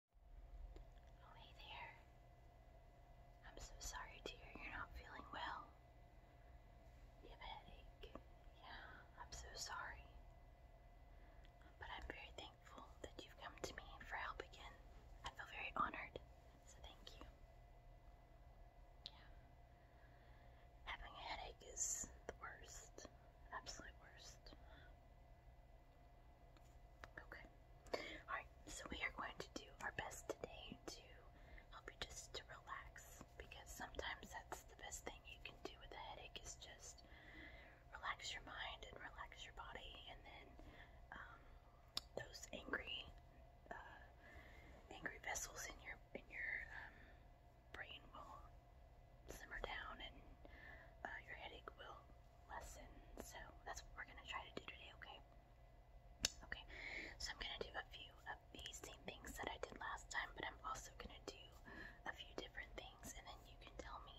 hey there. I'm so sorry dear. you're not feeling well. You have a headache. Yeah, I'm so sorry. But I'm very thankful that you've come to me for help again. I feel very honored, so thank you. Yeah. Having a headache is the worst. Absolute worst. Okay. Alright, so we are going to do our best today to help you just to relax because sometimes that's the best thing you can do with a headache is just relax your mind and relax your body and then um, those angry uh, angry vessels in your in your um, brain will simmer down and uh, your headache will lesson. So that's what we're gonna try to do today, okay? Okay, so I'm gonna do a few of these same things that I did last time, but I'm also gonna do a few different things, and then you can tell me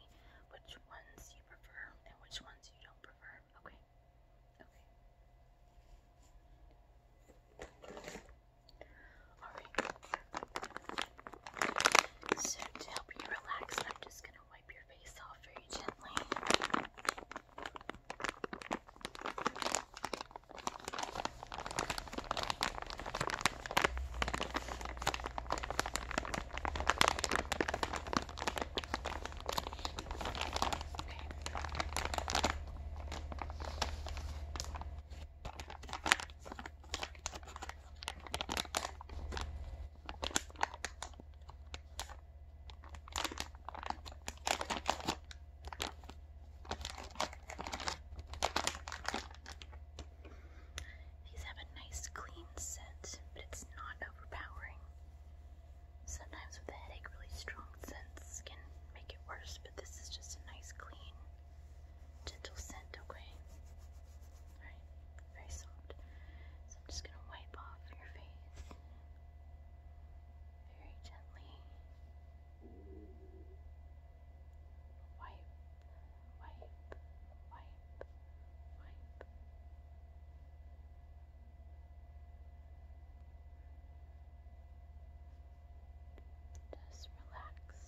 which ones you prefer and which ones you don't prefer, okay? Okay. Alright. So to help you relax, I'm just gonna wipe your face off very gently. Okay. These have a nice clean scent, but it's not overpowering. Sometimes with a headache, really strong scents can make it worse, but this is just a nice, clean, gentle scent, okay? right? Very soft. So I'm just gonna wipe off your face very gently. Wipe, wipe, wipe, wipe. Just relax.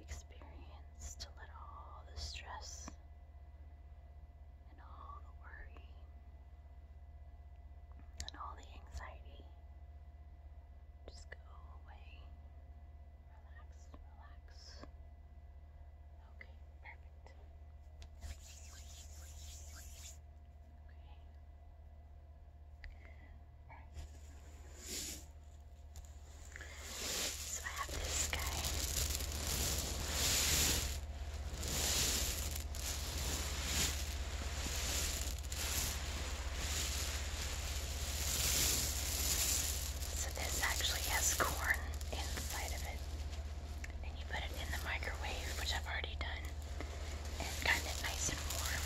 experience to let all the stress and all the worry and all the anxiety just go away. Relax, relax. Okay, perfect. Okay. Alright. So I have this guy. So this actually has corn inside of it. And you put it in the microwave, which I've already done. And it's kind of nice and warm.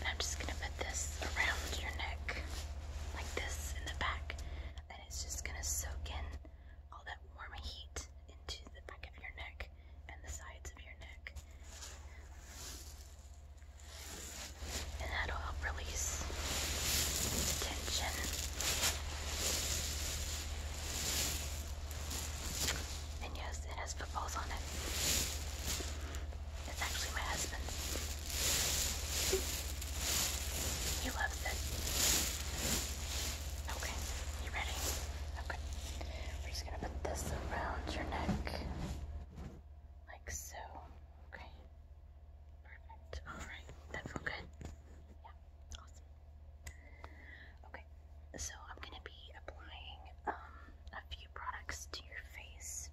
And I'm just gonna put this around your neck, like this in the back, and it's just gonna soak in all that warm heat into the back of your neck and the sides of your neck. And that'll help release the tension. And yes, it has footballs on it. It's actually my husband's. He loves it. Okay, you ready? Okay. We're just gonna put this around your neck. Like so. Okay. Perfect. Alright. That felt good? Yeah. Awesome. Okay, so I'm going to be applying um, a few products to your face.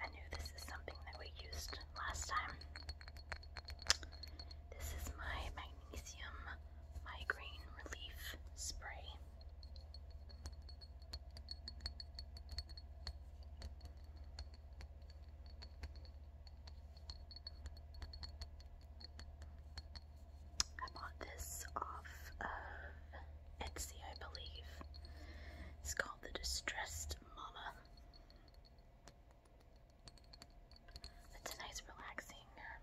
I knew this is something that we used last time. This is my magnesium migraine relief spray. I bought this off of Etsy, I believe. It's called the Distressed Mama. It's a nice, relaxing um,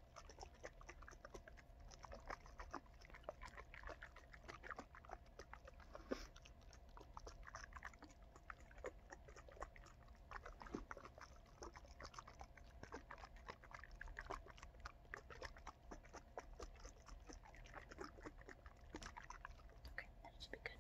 Okay, that should be good.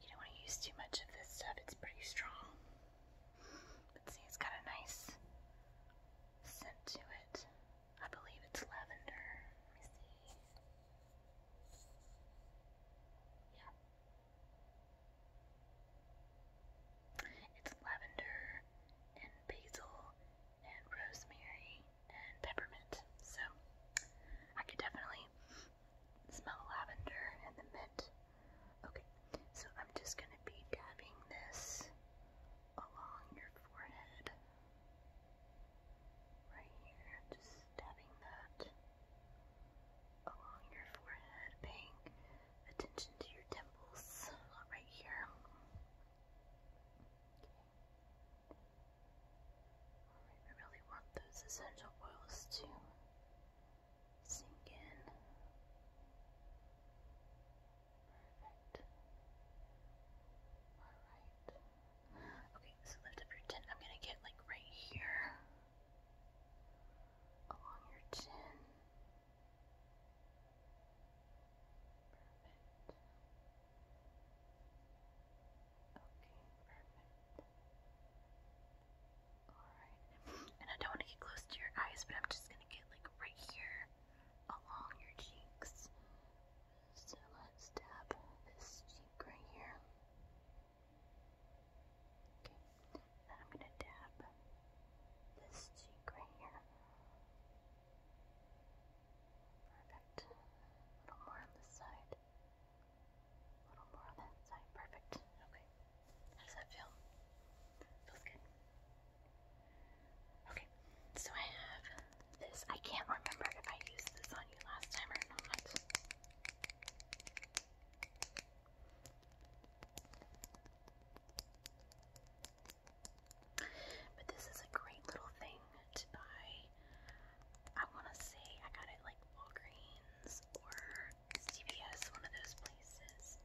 You don't want to use too much of this stuff, it's pretty strong. But see, it's got a nice scent to it. I believe it's lavender. Let me see. Yeah. It's lavender and basil and rosemary and peppermint. So I could definitely smell lavender and the mint. Okay, so I'm just going to be dabbing this along your forehead. Right here, just dabbing that along your forehead, paying attention to your temples right here. I really want those essential oils to sink in. Perfect. Alright. Okay, so lift up your chin. I'm gonna get like right here. Along your chin. Perfect. Okay, perfect. Alright. And I don't want to get close to your eyes, but I'm just going to get like right here along your cheeks. So let's dab this cheek right here. Okay. Then I'm going to tap this cheek right here. Perfect. A little more on this side. A little more on that side. Perfect. Okay. How does that feel? Feels good. Okay. So I have this. I can't remember if I used this on you last time or not. But this is a great little thing to buy. I want to say I got it like Walgreens or CVS, one of those places.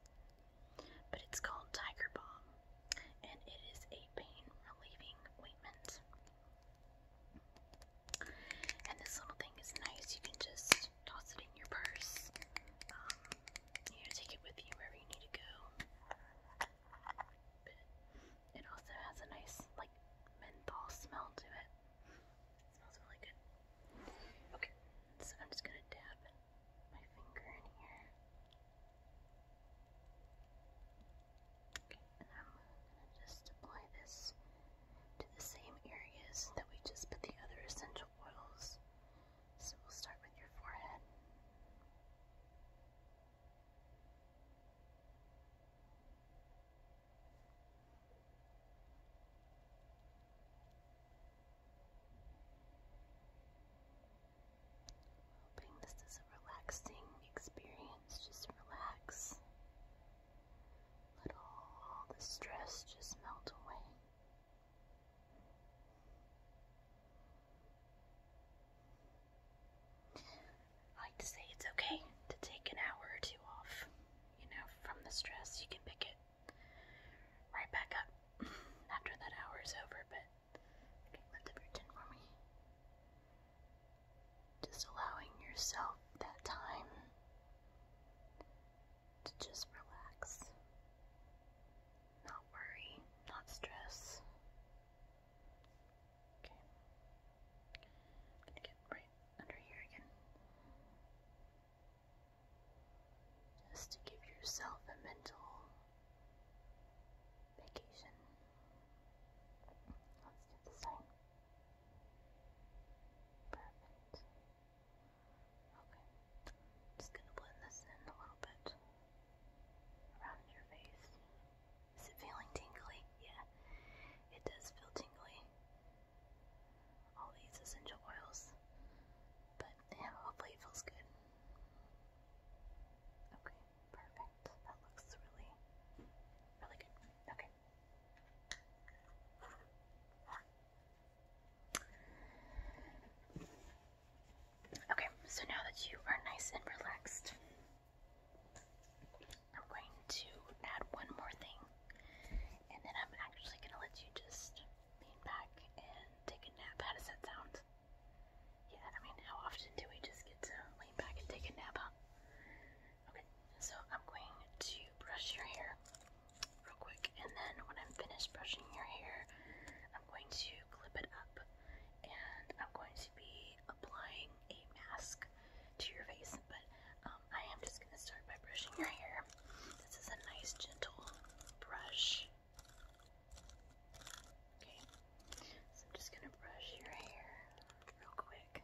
But it's called Tiger Balm, and it is a pain relieving ointment. And this little thing is nice. You can just toss it in your purse. Um, you know, take it with you wherever you need to go. It also has a nice, like, menthol smell to it. It smells really good. Okay, so I'm just gonna dab my finger in here. Okay, and I'm just apply this to the same areas that we just put the other essential oils. So we'll start with your forehead. Hoping this is a relaxing experience. Just relax. Let all the stress just melt away. I like to say it's okay to take an hour or two off, you know, from the stress. You can pick it right back up after that hour is over, but okay, lift up your chin for me. Just allowing yourself that time to just relax not worry, not stress. Okay. gonna get right under here again. Just to give yourself a mental vacation. Let's do the same. Perfect. Okay. Just gonna blend this in a little bit around your face. Is it feeling tingly? Yeah, it does feel tingly. All these essential oils. But yeah, hopefully it feels good. Okay, perfect. That looks really, really good. Okay. Okay, so now that you are nice and relaxed, I'm going to add one more thing, and then I'm actually going to let you just lean back and take a nap. How does that sound? Yeah, I mean, how often do we just get to lean back and take a nap, Okay, so I'm going to brush your hair real quick, and then when I'm finished brushing your hair, I'm going to clip it up, and I'm going to be applying a mask to your face. But um, I am just going to start by brushing your hair. This is a nice, gentle brush. Okay, so I'm just going to brush your hair real quick.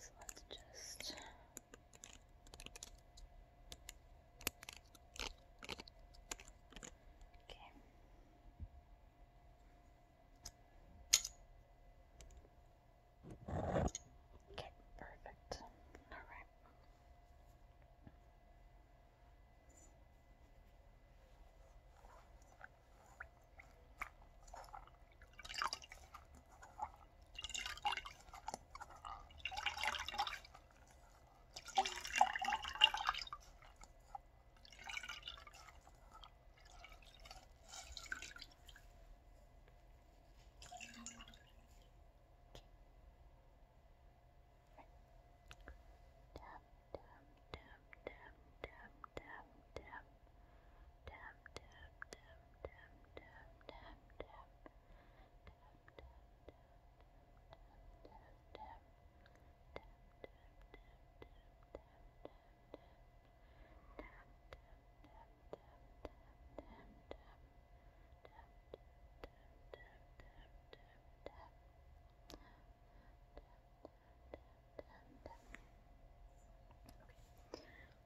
So let's just Okay. Okay, perfect. All right dab, dab, dab, dab, dab, Okay.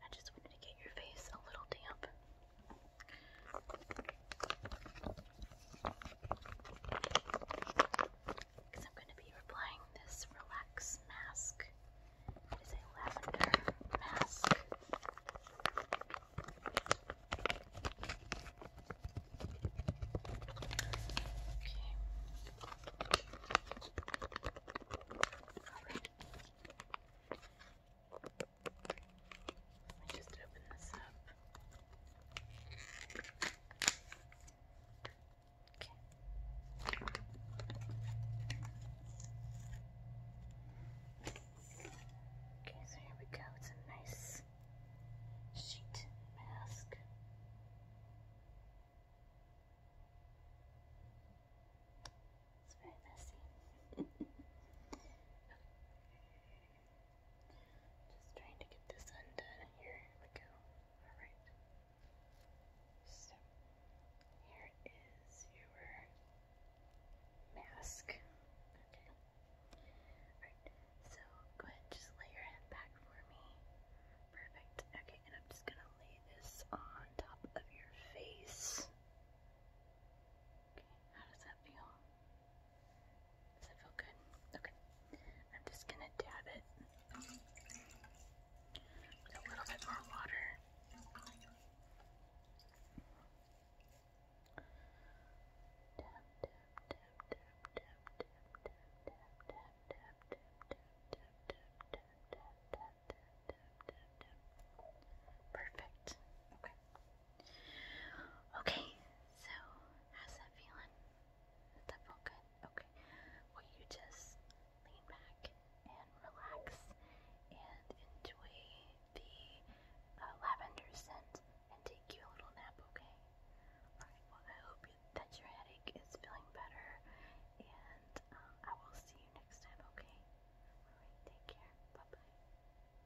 I just wanted to get your face a little damp. Okay. Because I'm going to be applying this relax mask. It is a lavender mask. Okay. Let me just open this up. Okay. Okay, so here we go. It's a nice sheet mask. It's very messy. Just trying to get this undone. Here we go. Alright. So, here is your mask. Okay. Alright, so go ahead just lay your head back for me. Perfect. Okay, and I'm just gonna lay this on top of your face. Okay, how does that feel? Does it feel good? Okay. I'm just gonna dab it with a little bit more water. Dab, dab, dab, dab, dab, dab, dab, dab, dab, dab, dab, dab, dab, dab, dab, dab, dab, dab, dab, dab. Perfect. Okay. Okay, so how's that feeling? Does that feel good? Okay. Well, you just lean back and relax and enjoy the uh, lavender scent and take you a little nap, okay? Alright, well, I hope that your headache is feeling better and um, I will see you next time, okay? Alright, take care. Bye bye.